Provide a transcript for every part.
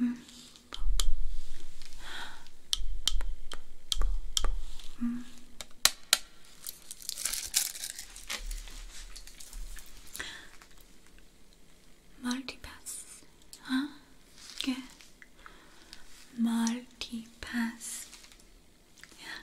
Mm. Mm. Multipass, huh? Good. Multipass. Yeah.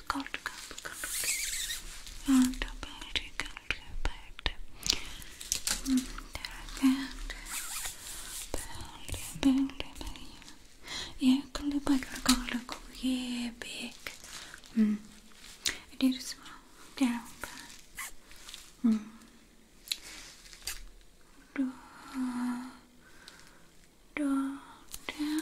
cold, cold, cold, cold. And very cold, but mm, very yeah, cold, but cold, cold, yeah, big. Mm. It is small, down, but mm. Do, do, down.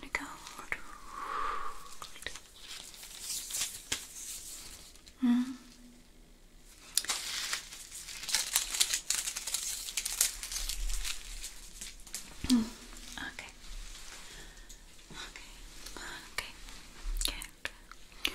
and cold. Mm. Mm. Okay. Okay. Okay. Get.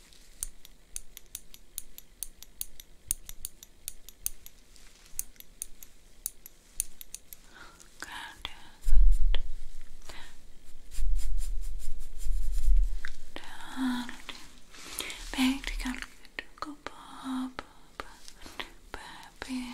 Good. Good. Back to go pop, baby. Good.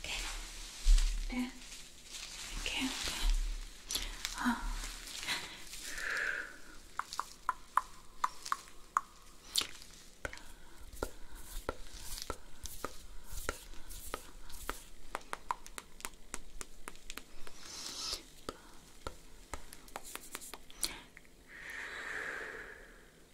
Okay. Yeah. Okay. Okay. Oh. Okay.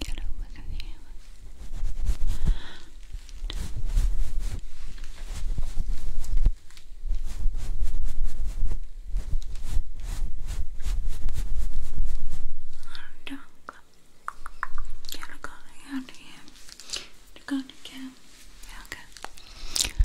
Get over the camera. And look out here. Look out again. Yeah, okay. Good.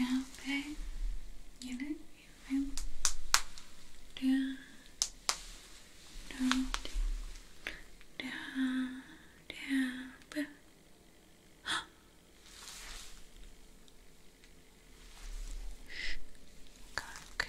okay, you know, you feel down, down, down, down, down. okay.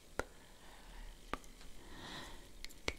deeper, deeper, deeper, Good.